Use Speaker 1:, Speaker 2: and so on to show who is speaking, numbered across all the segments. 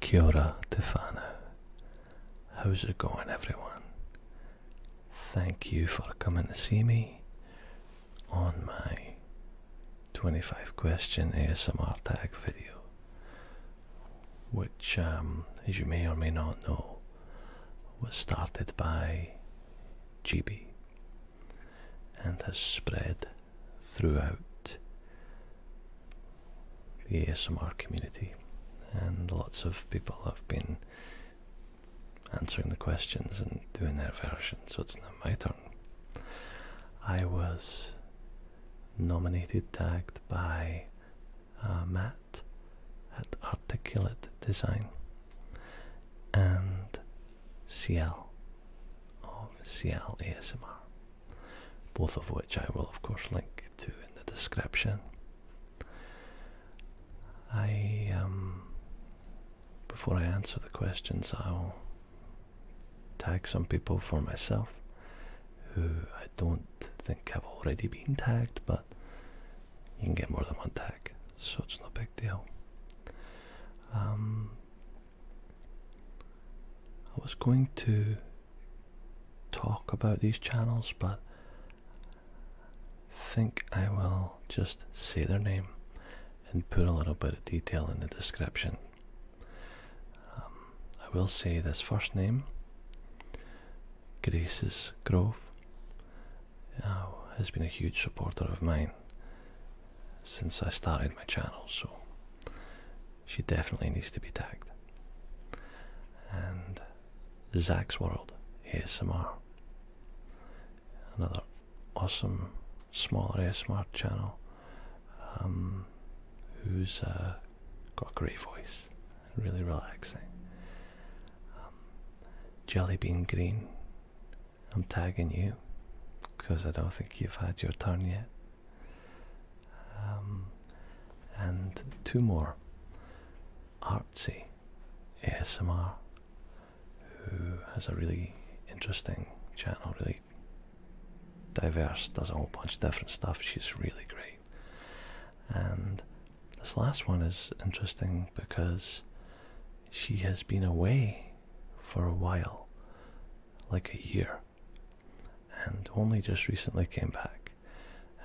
Speaker 1: Kia ora, How's it going, everyone? Thank you for coming to see me on my 25 question ASMR tag video, which, um, as you may or may not know, was started by GB and has spread throughout the ASMR community, and lots of people have been answering the questions and doing their version, so it's now my turn. I was nominated, tagged by uh, Matt at Articulate Design and CL of CL ASMR both of which I will of course link to in the description. I um, before I answer the questions, I'll tag some people for myself who I don't think have already been tagged, but you can get more than one tag, so it's no big deal. Um, I was going to talk about these channels, but think I will just say their name and put a little bit of detail in the description. Um, I will say this first name, Grace's Grove, uh, has been a huge supporter of mine since I started my channel, so she definitely needs to be tagged. And Zach's World ASMR. Another awesome smaller smart channel um, Who's uh, got a great voice, really relaxing. Um, Jelly bean Green, I'm tagging you because I don't think you've had your turn yet. Um, and two more Artsy ASMR, who has a really interesting channel, really diverse, does a whole bunch of different stuff. She's really great. And this last one is interesting because she has been away for a while, like a year, and only just recently came back,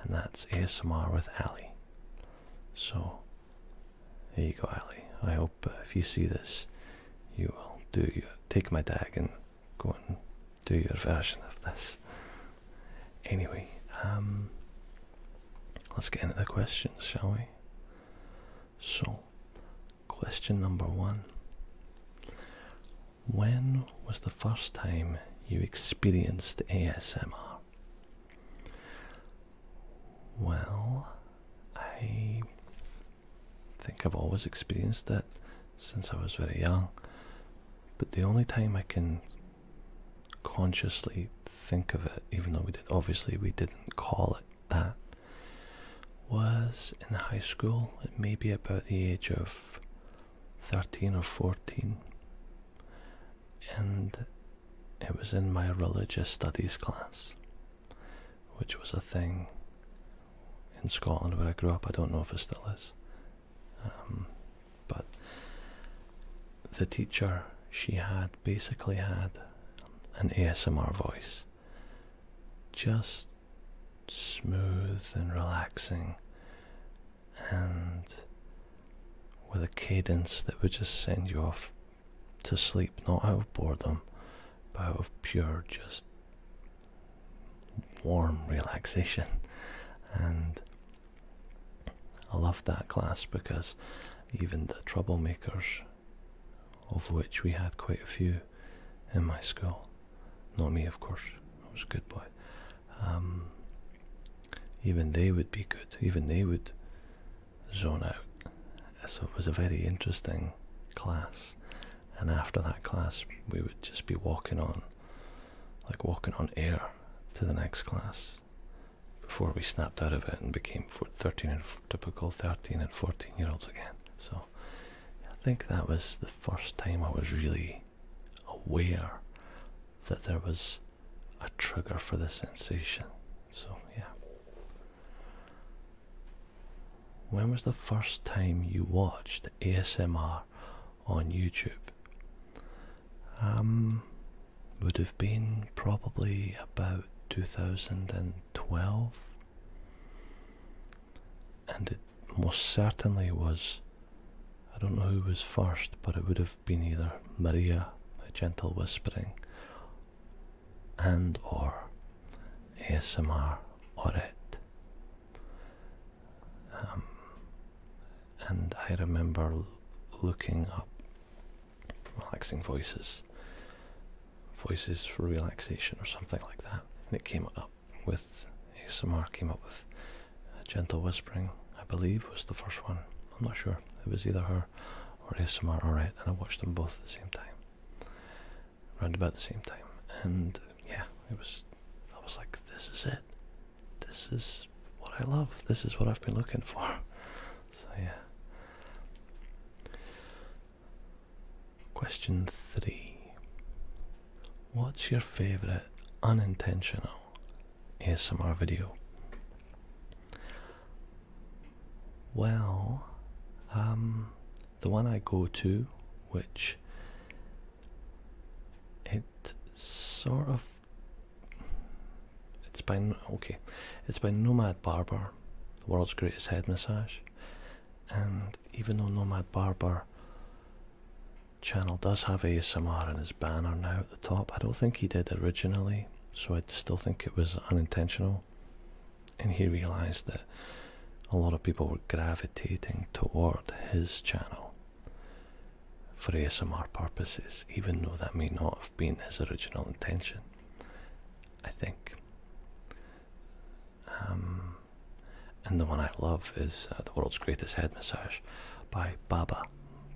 Speaker 1: and that's ASMR with Ali. So, there you go, Ali. I hope uh, if you see this, you will do your take my tag and go and do your version of this. Anyway, um, let's get into the questions, shall we? So, Question number one When was the first time you experienced ASMR? Well, I think I've always experienced it since I was very young, but the only time I can consciously think of it, even though we did obviously we didn't call it that, was in high school, at maybe about the age of 13 or 14, and it was in my religious studies class, which was a thing in Scotland where I grew up. I don't know if it still is. Um, but the teacher, she had basically had an ASMR voice just smooth and relaxing and with a cadence that would just send you off to sleep, not out of boredom, but out of pure, just warm relaxation. And I loved that class because even the troublemakers of which we had quite a few in my school. Not me, of course, I was a good boy. Um, even they would be good, even they would zone out. So it was a very interesting class. And after that class, we would just be walking on, like walking on air to the next class before we snapped out of it and became 13 and typical 13 and 14 year olds again. So I think that was the first time I was really aware that there was a trigger for the sensation. So, yeah. When was the first time you watched ASMR on YouTube? Um, would have been probably about 2012 and it most certainly was, I don't know who was first, but it would have been either Maria, a gentle whispering, and or ASMR or it. Um, and I remember looking up relaxing voices voices for relaxation or something like that. And it came up with ASMR came up with a gentle whispering, I believe was the first one. I'm not sure. It was either her or ASMR or it, and I watched them both at the same time. Around about the same time. And yeah, it was I was like, this is it. This is what I love. This is what I've been looking for. So yeah. Question three What's your favourite unintentional ASMR video? Well, um, the one I go to, which it sort of it's by okay, it's by Nomad Barber, the world's greatest head massage, and even though Nomad Barber channel does have ASMR in his banner now at the top, I don't think he did originally, so I still think it was unintentional. And he realized that a lot of people were gravitating toward his channel for ASMR purposes, even though that may not have been his original intention. I think. Um, and the one I love is uh, The World's Greatest Head Massage by Baba,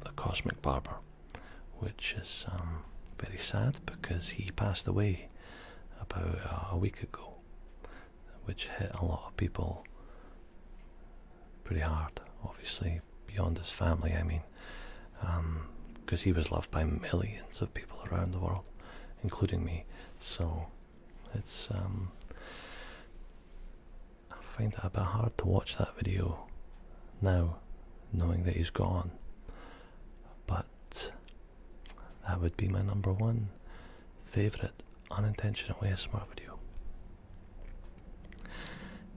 Speaker 1: the Cosmic Barber, which is um, very sad because he passed away about uh, a week ago, which hit a lot of people pretty hard, obviously, beyond his family, I mean, because um, he was loved by millions of people around the world, including me. So it's um, I find that a bit hard to watch that video now, knowing that he's gone. But that would be my number one favorite unintentional ASMR video.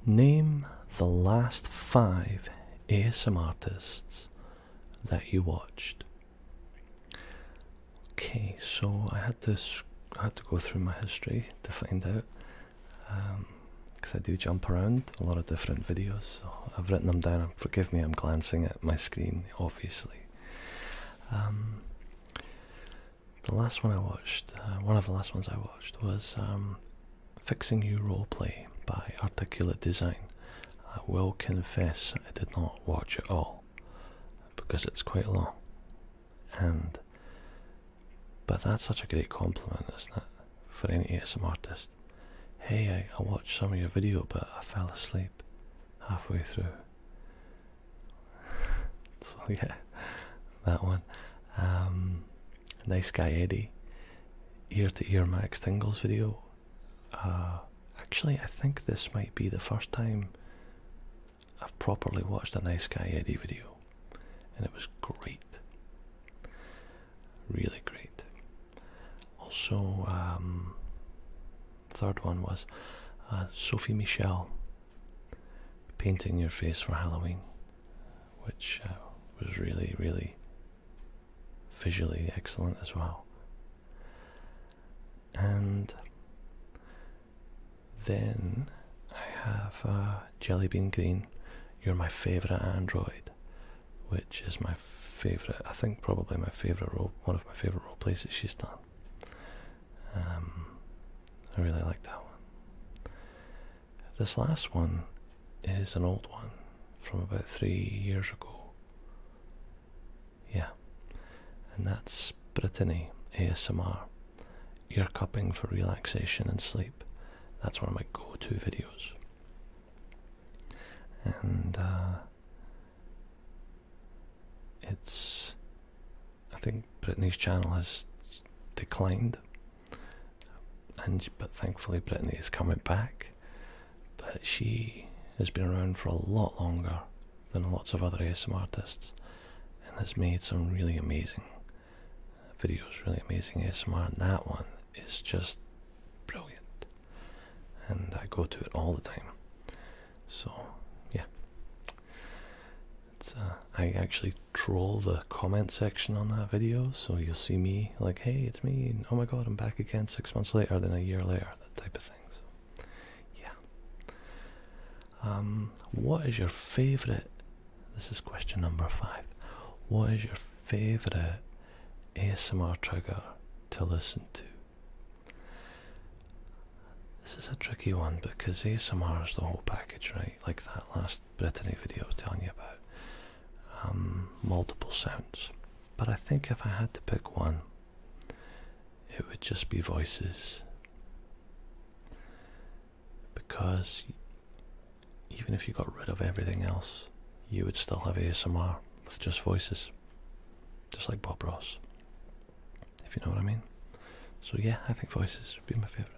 Speaker 1: Name the last five ASM artists that you watched Okay, so I had to I had to go through my history to find out, because um, I do jump around a lot of different videos. So I've written them down. Forgive me, I'm glancing at my screen, obviously. Um, the last one I watched, uh, one of the last ones I watched, was um, "Fixing You Role Play" by Articulate Design. I will confess I did not watch it all because it's quite long. And but that's such a great compliment, isn't it? For any ASM artist. Hey, I, watched some of your video but I fell asleep halfway through. so yeah, that one. Um, nice guy Eddie. Ear to ear Max Tingles video. Uh, actually, I think this might be the first time I've properly watched a Nice Guy Eddie video, and it was great. Really great. Also, um, third one was uh, Sophie Michelle painting your face for Halloween, which uh, was really, really visually excellent as well. And then I have uh, jelly bean Green, You're My Favourite Android, which is my favourite, I think probably my favourite role, one of my favourite role plays that she's done. Um, I really like that one. This last one is an old one from about three years ago. Yeah, and that's Brittany ASMR ear cupping for relaxation and sleep. That's one of my go to videos. And uh, it's, I think Brittany's channel has declined, and but thankfully Brittany is coming back, but she has been around for a lot longer than lots of other ASMR artists and has made some really amazing videos, really amazing ASMR, and that one is just brilliant. And I go to it all the time. So, yeah. It's, uh, I actually troll the comment section on that video, so you'll see me like hey it's me oh my god i'm back again six months later than a year later that type of thing yeah um, what is your favorite this is question number five what is your favorite asmr trigger to listen to this is a tricky one because asmr is the whole package right like that last brittany video i was telling you about um, multiple sounds. But I think if I had to pick one, it would just be voices. Because even if you got rid of everything else, you would still have ASMR with just voices. Just like Bob Ross. If you know what I mean. So yeah, I think voices would be my favourite.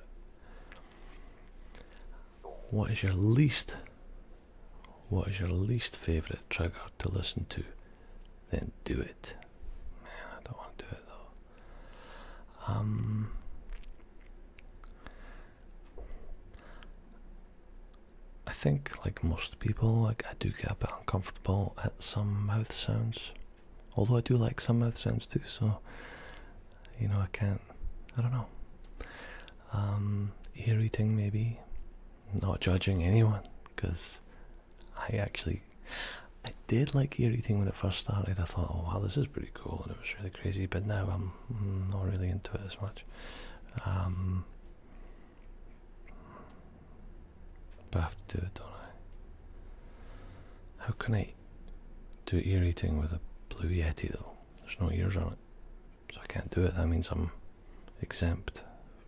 Speaker 1: What is your least what is your least favourite trigger to listen to? Then do it. I don't want to do it though. Um, I think, like most people, like I do get a bit uncomfortable at some mouth sounds. Although I do like some mouth sounds too, so you know I can't. I don't know um, eating, maybe not judging anyone because I actually I did like ear eating when it first started I thought oh wow this is pretty cool and it was really crazy but now I'm mm, not really into it as much um, but I have to do it don't I how can I do ear eating with a blue yeti though there's no ears on it so I can't do it. That means I'm exempt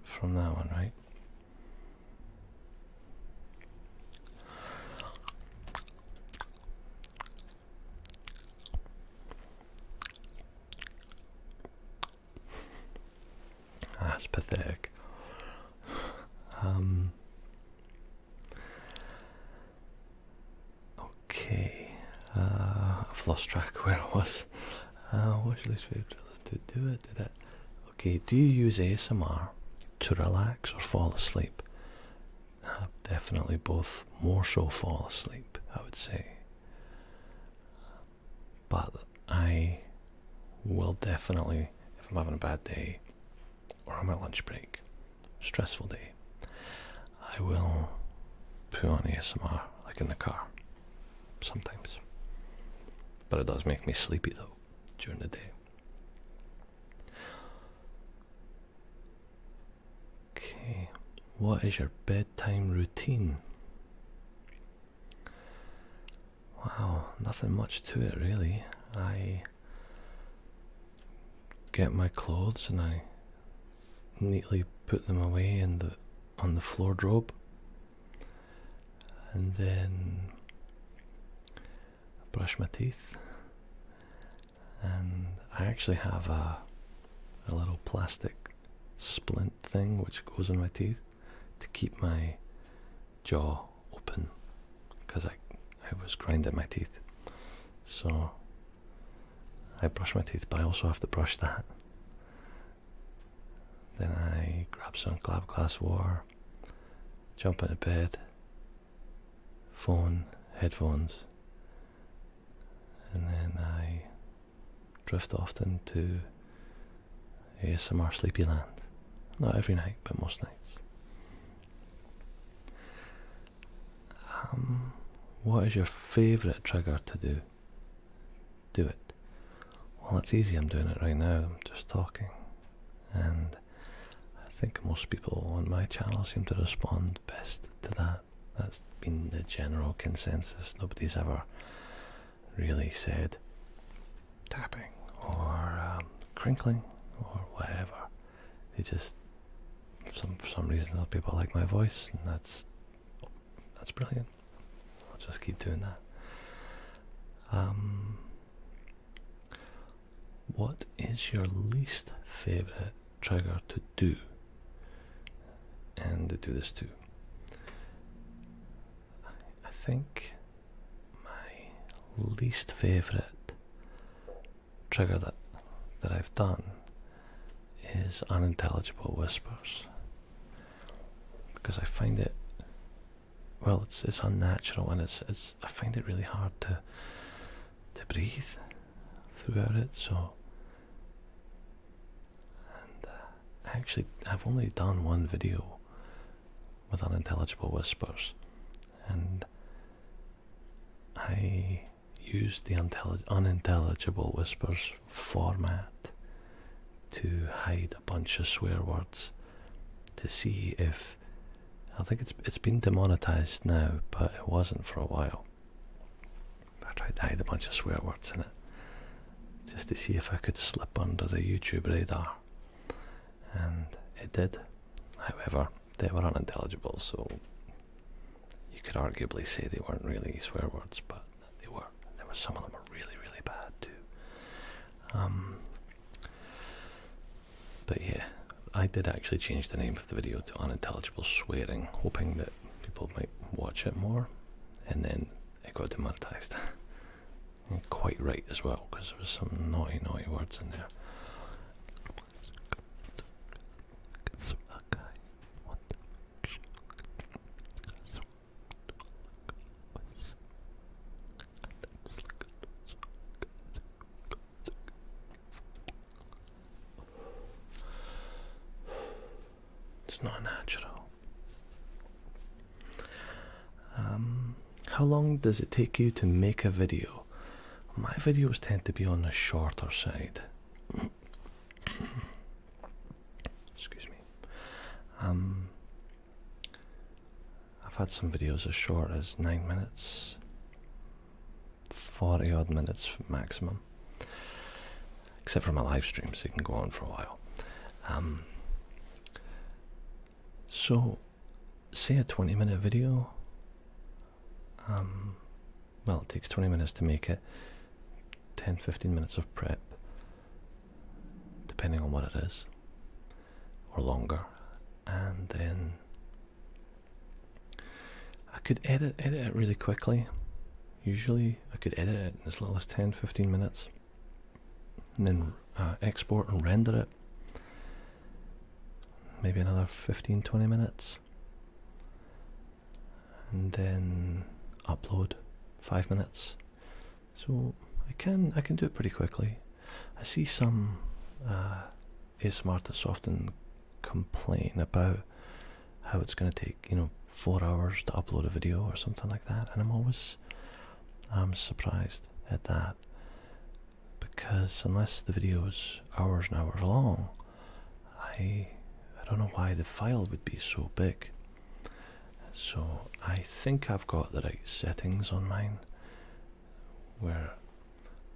Speaker 1: from that one, right? That's ah, pathetic. Um, Okay, uh, I've lost track where I was. Uh, what's your least favorite trailers to do it? Did it? Okay, do you use ASMR to relax or fall asleep? Uh, definitely both. More so fall asleep, I would say. But I will definitely, if I'm having a bad day or on my lunch break, stressful day, I will put on ASMR like in the car sometimes. But it does make me sleepy though during the day. Okay, what is your bedtime routine? Wow, nothing much to it really. I get my clothes and I neatly put them away in the on the floor drobe and then brush my teeth and I actually have a a little plastic splint thing which goes in my teeth to keep my jaw open because I I was grinding my teeth so I brush my teeth, but I also have to brush that. Then I grab some glass of water, jump into bed, phone, headphones, and then I drift off into ASMR Sleepyland. Not every night, but most nights. Um, what is your favourite trigger to do? Do it. Well, it's easy, I'm doing it right now, I'm just talking. And I think most people on my channel seem to respond best to that. That's been the general consensus. Nobody's ever really said tapping or um, crinkling or whatever. They just, some, for some reason, people like my voice, and that's that's brilliant. I'll just keep doing that. Um, what is your least favorite trigger to do? And do this too. I think my least favorite trigger that that I've done is unintelligible whispers because I find it well it's it's unnatural and it's it's I find it really hard to to breathe throughout it so and uh, actually I've only done one video with unintelligible whispers and I used the unintelligible whispers format to hide a bunch of swear words to see if I think it's it's been demonetized now, but it wasn't for a while. I tried to hide a bunch of swear words in it just to see if I could slip under the YouTube radar, and it did. However, they were unintelligible, so you could arguably say they weren't really swear words, but they were. There were some of them were really, really bad too. Um, but yeah, I did actually change the name of the video to unintelligible swearing, hoping that people might watch it more, and then it got demonetized. quite right as well, because there was some naughty, naughty words in there it's not natural. Um, how long does it take you to make a video? My videos tend to be on the shorter side. Excuse me. Um, I've had some videos as short as nine minutes, forty odd minutes maximum. Except for my live streams, they can go on for a while. Um, so, say a twenty-minute video. Um, well, it takes 20 minutes to make it, 10 15 minutes of prep, depending on what it is, or longer, and then I could edit, edit it really quickly. Usually, I could edit it in as little as 10 15 minutes, and then uh, export and render it. Maybe another 15 20 minutes and then upload five minutes so I can I can do it pretty quickly I see some uh, ASMR artists often complain about how it's going to take you know four hours to upload a video or something like that and I'm always I'm um, surprised at that because unless the video is hours and hours long I I don't know why the file would be so big. So I think I've got the right settings on mine. Where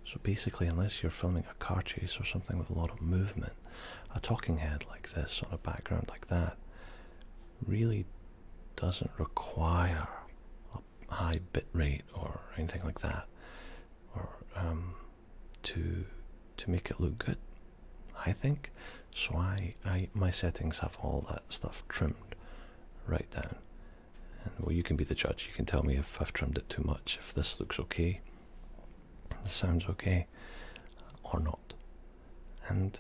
Speaker 1: so basically unless you're filming a car chase or something with a lot of movement, a talking head like this on a background like that really doesn't require a high bit rate or anything like that. Or um, to to make it look good i think so i i my settings have all that stuff trimmed right down and well you can be the judge you can tell me if i've trimmed it too much if this looks okay this sounds okay or not and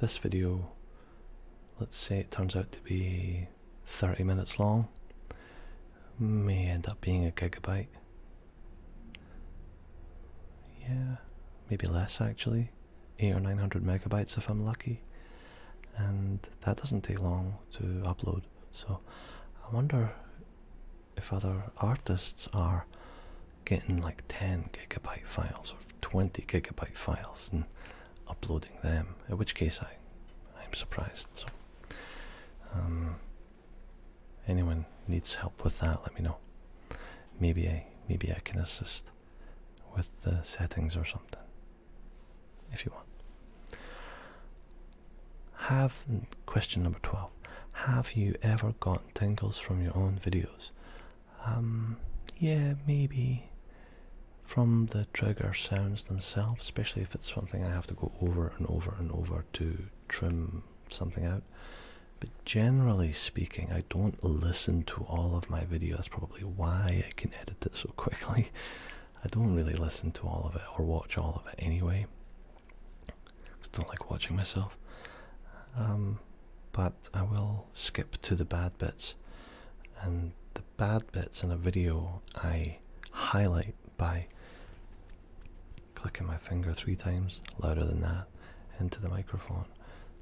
Speaker 1: this video let's say it turns out to be 30 minutes long may end up being a gigabyte. Yeah, maybe less actually, eight or nine hundred megabytes if I'm lucky, and that doesn't take long to upload. So, I wonder if other artists are getting like 10 gigabyte files or 20 gigabyte files and uploading them, in which case I, I'm surprised. So, um, anyone needs help with that, let me know. Maybe I maybe I can assist with the settings or something if you want. Have question number twelve. Have you ever gotten tingles from your own videos? Um, yeah, maybe from the trigger sounds themselves, especially if it's something I have to go over and over and over to trim something out. But generally speaking, I don't listen to all of my video. That's probably why I can edit this so quickly. I don't really listen to all of it or watch all of it anyway. Just don't like watching myself. Um, but I will skip to the bad bits. And the bad bits in a video I highlight by clicking my finger three times, louder than that, into the microphone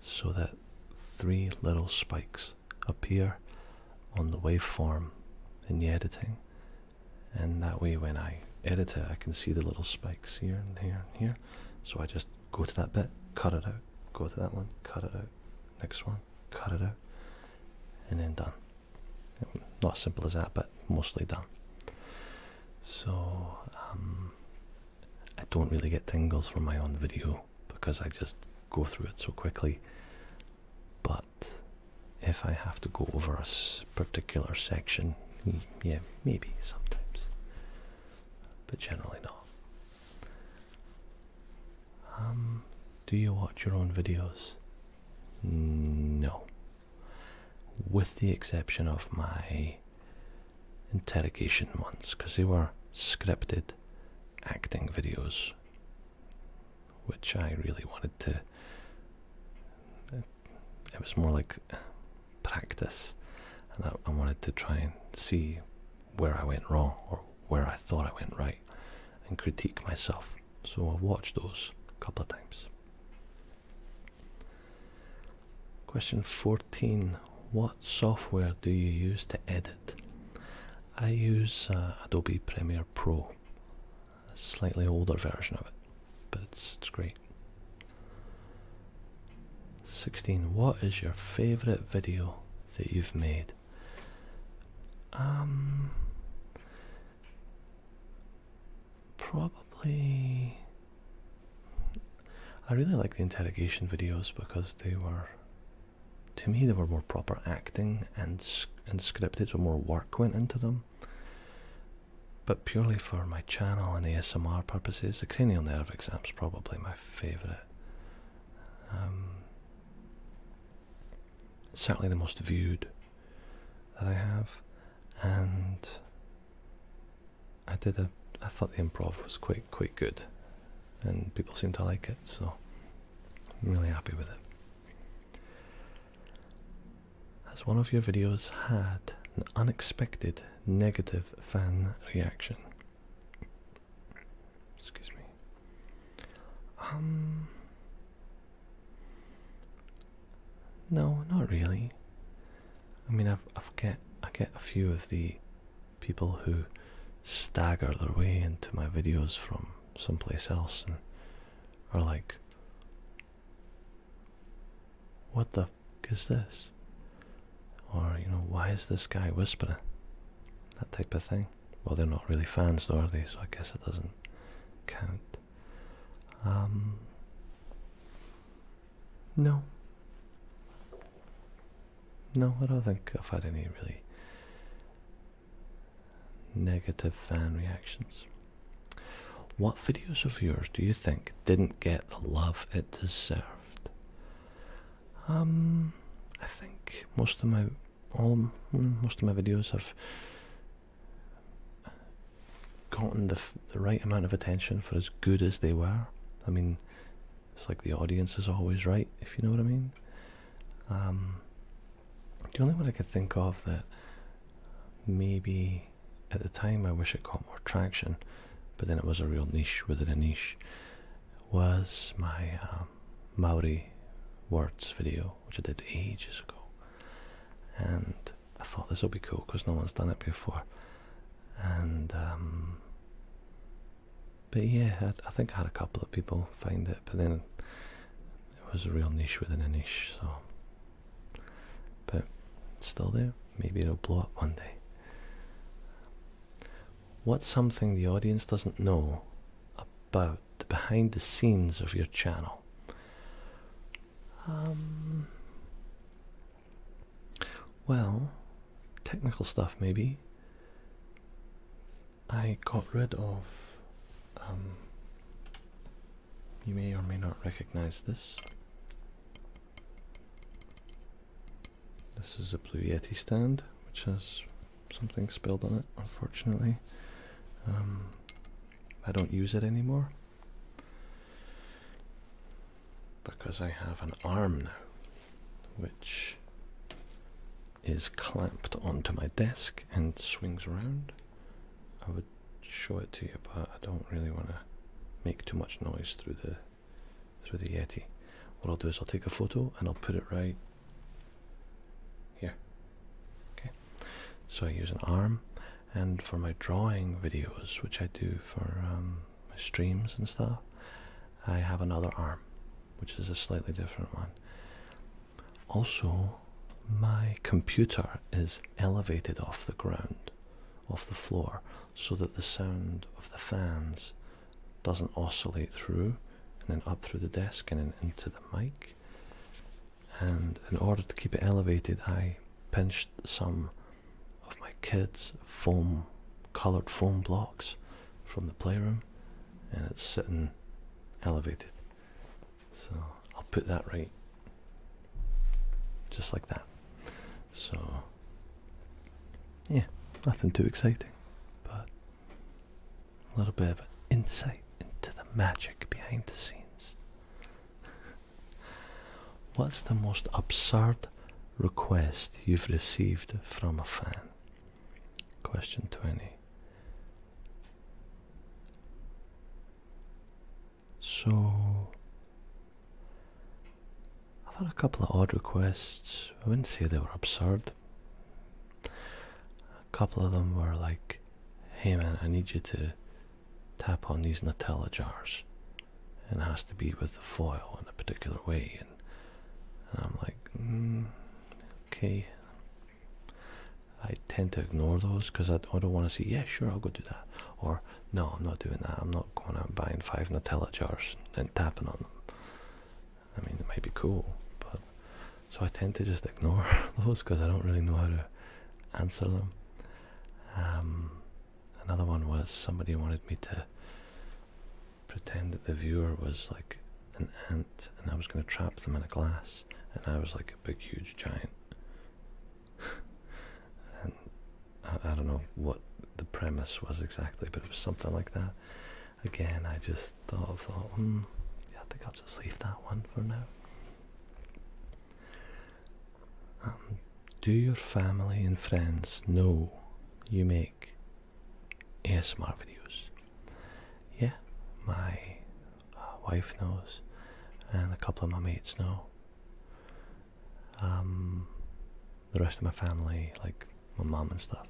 Speaker 1: so that three little spikes appear on the waveform in the editing. And that way, when I edit it, I can see the little spikes here and here and here. So I just go to that bit, cut it out, go to that one, cut it out, next one, cut it out, and then done. Not as simple as that, but mostly done. So um, I don't really get tingles from my own video because I just go through it so quickly. But if I have to go over a particular section, yeah, maybe sometimes, but generally not. Um, do you watch your own videos? No, with the exception of my interrogation ones, because they were scripted acting videos, which I really wanted to. It was more like practice, and I, wanted to try and see where I went wrong or where I thought I went right and critique myself. So I've watched those a couple of times. Question 14 What software do you use to edit? I use uh, Adobe Premiere Pro, a slightly older version of it, but it's, it's great. 16. What is your favourite video that you've made? Um, probably I really like the interrogation videos because they were to me they were more proper acting and and scripted so more work went into them but purely for my channel and ASMR purposes the cranial nerve exam is probably my favourite um, it's certainly the most viewed that I have, and I did a. I thought the improv was quite quite good, and people seem to like it, so I'm really happy with it. Has one of your videos had an unexpected negative fan reaction? Excuse me. Um, no, not really. I mean, i get I get a few of the people who stagger their way into my videos from someplace else and are like, "What the f is this?" Or you know, "Why is this guy whispering?" That type of thing. Well, they're not really fans, though, are they? So I guess it doesn't count. Um, no. No, I don't think I've had any really negative fan reactions. What videos of yours do you think didn't get the love it deserved? Um, I think most of my all mm, most of my videos have gotten the, the right amount of attention for as good as they were. I mean, it's like the audience is always right, if you know what I mean. Um, the only one I could think of that maybe at the time I wish it got more traction, but then it was a real niche within a niche, was my um, Maori words video which I did ages ago, and I thought this will be cool because no one's done it before, and um, but yeah, I, think I had a couple of people find it, but then it was a real niche within a niche, so but still there. Maybe it'll blow up one day. What's something the audience doesn't know? About the behind the scenes of your channel. Um, well, technical stuff maybe. I got rid of. Um, you may or may not recognize this. This is a Blue Yeti stand, which has something spilled on it, unfortunately. Um, I don't use it anymore because I have an arm now which is clamped onto my desk and swings around. I would show it to you, but I don't really want to make too much noise through the through the Yeti. What I'll do is I'll take a photo and I'll put it right here. Okay. So I use an arm, and for my drawing videos, which I do for um, streams and stuff, I have another arm, which is a slightly different one. Also, my computer is elevated off the ground, off the floor, so that the sound of the fans doesn't oscillate through and then up through the desk and then into the mic and in order to keep it elevated, I pinched some of my kids' foam colored foam blocks from the playroom, and it's sitting elevated. So I'll put that right just like that. So, yeah, nothing too exciting, but a little bit of insight into the magic behind the scenes. What's the most absurd request you've received from a fan? Question 20. So, I've had a couple of odd requests. I wouldn't say they were absurd a couple of them were like, hey man, I need you to tap on these Nutella jars. And it has to be with the foil in a particular way. And, I'm like, mm, okay. I tend to ignore those because I, I don't want to say, yeah, sure, I'll go do that. Or, no, I'm not doing that. I'm not going out buying five Nutella jars and tapping on them. I mean, it might be cool, but so I tend to just ignore those because I don't really know how to answer them. Um, another one was somebody wanted me to pretend that the viewer was like an ant and I was going to trap them in a glass and I was like a big, huge giant. and I don't know what the premise was exactly, but it was something like that. Again, I just just thought, I thought, Hmm. yeah, I think I'll just leave that one for now. Um, do your family and friends know you make ASMR videos? Yeah, my uh, wife knows, and a couple of my mates know. Um, the rest of my family, like my mum and stuff,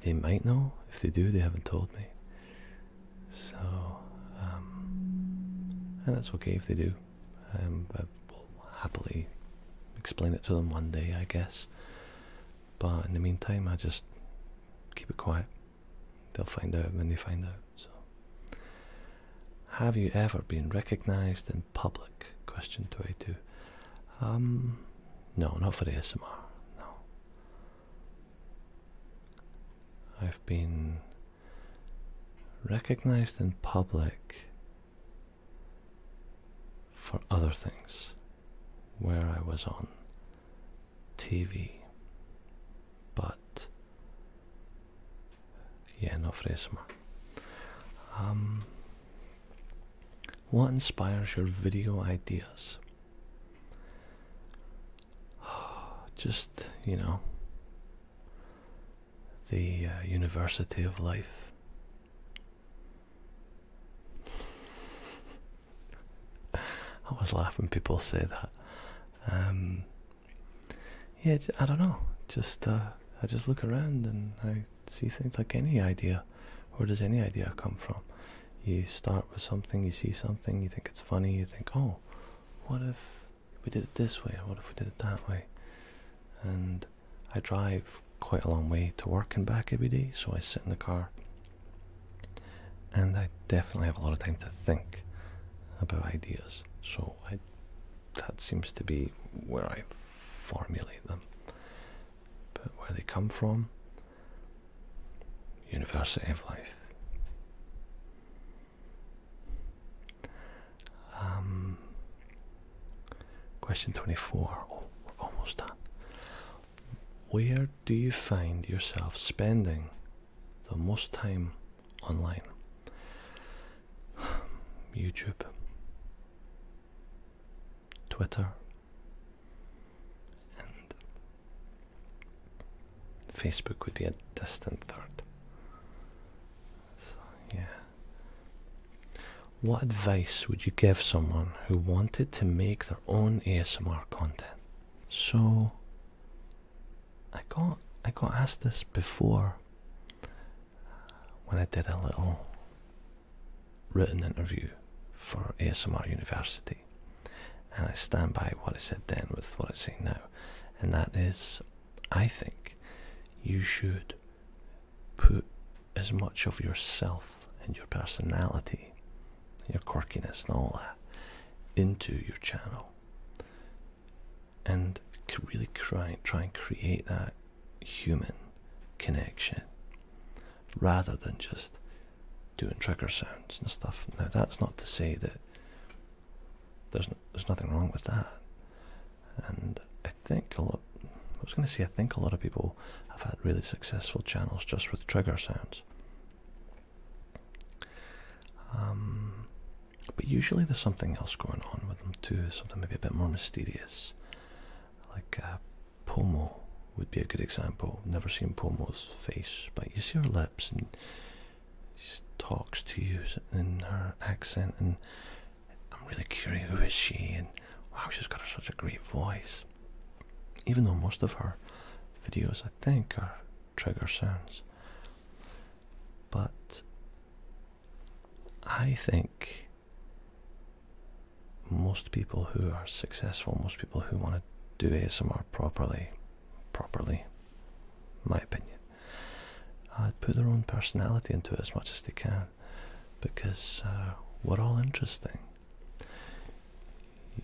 Speaker 1: they might know. If they do, they haven't told me. So, um, and that's okay if they do. I um, will happily explain it to them one day, I guess. But in the meantime, I just keep it quiet. They'll find out when they find out. So, have you ever been recognized in public? Question 22. Um, no, not for the ASMR. No. I've been recognized in public for other things where I was on TV. But yeah, no fresma. Um, what inspires your video ideas? Just, you know, the uh, university of life. I always laugh when people say that. Um, yeah, I don't know. Just uh, I just look around and I see things like any idea. Where does any idea come from? you start with something, you see something, you think it's funny, you think, oh, what if we did it this way, or what if we did it that way? And I drive quite a long way to work and back every day, so I sit in the car and I definitely have a lot of time to think about ideas. So I that seems to be where I formulate them. But where they come from, University of Life. Um, question 24. Oh, we're almost done. Where do you find yourself spending the most time online? YouTube, Twitter, and Facebook would be a distant third. So, yeah. What advice would you give someone who wanted to make their own ASMR content? So, I got I got asked this before uh, when I did a little written interview for ASMR University. And I stand by what I said then with what I say now. And that is, I think you should put as much of yourself and your personality, your quirkiness, and all that into your channel. And really try and create that human connection rather than just doing trigger sounds and stuff. Now, that's not to say that there's, there's nothing wrong with that. And I think a lot, I was going to say, I think a lot of people have had really successful channels just with trigger sounds. Um, but usually there's something else going on with them too, something maybe a bit more mysterious, like uh, Pomo would be a good example. Never seen Pomo's face, but you see her lips and she talks to you in her accent and I'm really curious who is she and wow she's got such a great voice. Even though most of her videos I think are trigger sounds. But I think most people who are successful, most people who want to do ASMR properly, properly, my opinion, uh, put their own personality into it as much as they can, because uh, we're all interesting.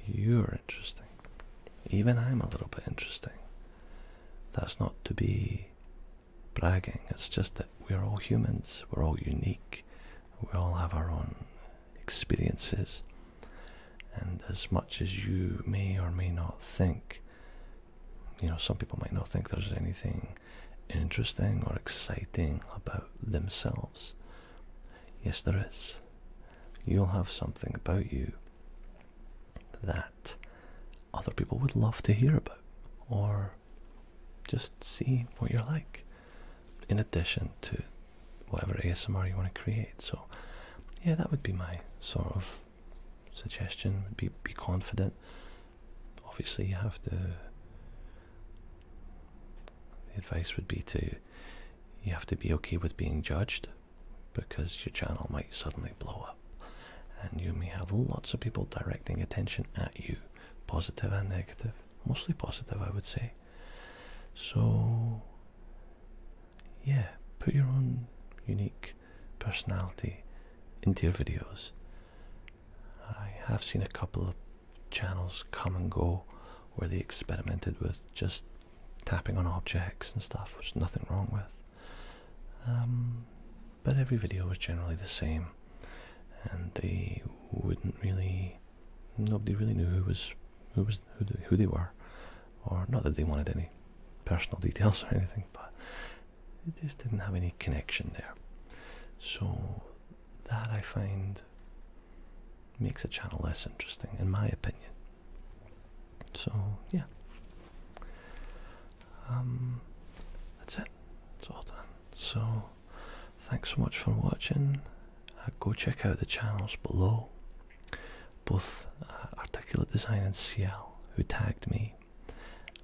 Speaker 1: You're interesting. Even I'm a little bit interesting. That's not to be bragging. It's just that we're all humans. We're all unique. We all have our own experiences. And as much as you may or may not think, you know, some people might not think there's anything interesting or exciting about themselves. Yes, there is. You'll have something about you that other people would love to hear about or just see what you're like in addition to whatever ASMR you want to create. So, yeah, that would be my sort of suggestion. Be be confident. Obviously, you have to. The advice would be to you have to be okay with being judged because your channel might suddenly blow up and you may have lots of people directing attention at you, positive and negative, mostly positive, I would say. So, yeah, put your own unique personality into your videos. I have seen a couple of channels come and go where they experimented with just tapping on objects and stuff, which nothing wrong with. Um, but every video was generally the same, and they wouldn't really Nobody really knew who was who was who they, were, or not that they wanted any personal details or anything, but it just didn't have any connection there. So that I find makes a channel less interesting, in my opinion. So yeah, um, that's it. It's all done. So Thanks so much for watching. Uh, go check out the channels below. Both uh, Articulate Design and CL, who tagged me,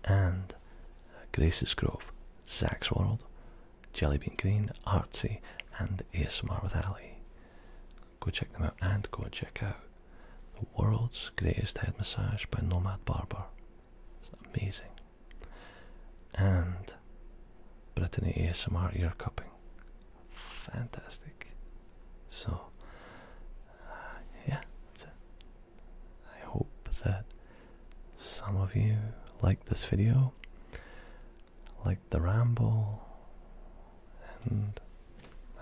Speaker 1: and uh, Grace's Grove, Zach's World, Jellybean Green, Artsy, and ASMR with Ali. Go check them out and go check out The World's Greatest Head Massage by Nomad Barber. It's amazing. And Brittany ASMR ear cupping. Fantastic. So, uh, yeah, I hope that some of you liked this video, liked the ramble, and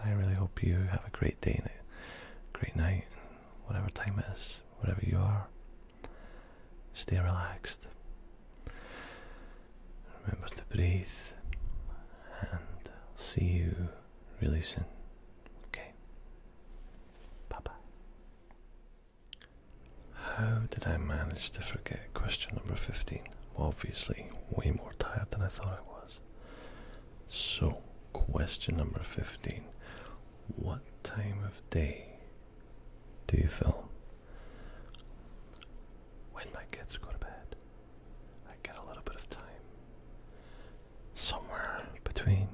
Speaker 1: I really hope you have a great day, great night, whatever time it is, whatever you are. Stay relaxed. Remember to breathe and I'll see you really soon. Okay. Bye bye. How did I manage to forget question number 15? Obviously, way more tired than I thought I was. So, question number 15 What time of day do you film? When my kids go to bed, I get a little bit of time. Somewhere between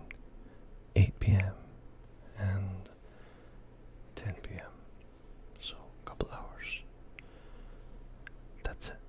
Speaker 1: 8 p.m. and 10 p.m. So, a couple hours. That's it.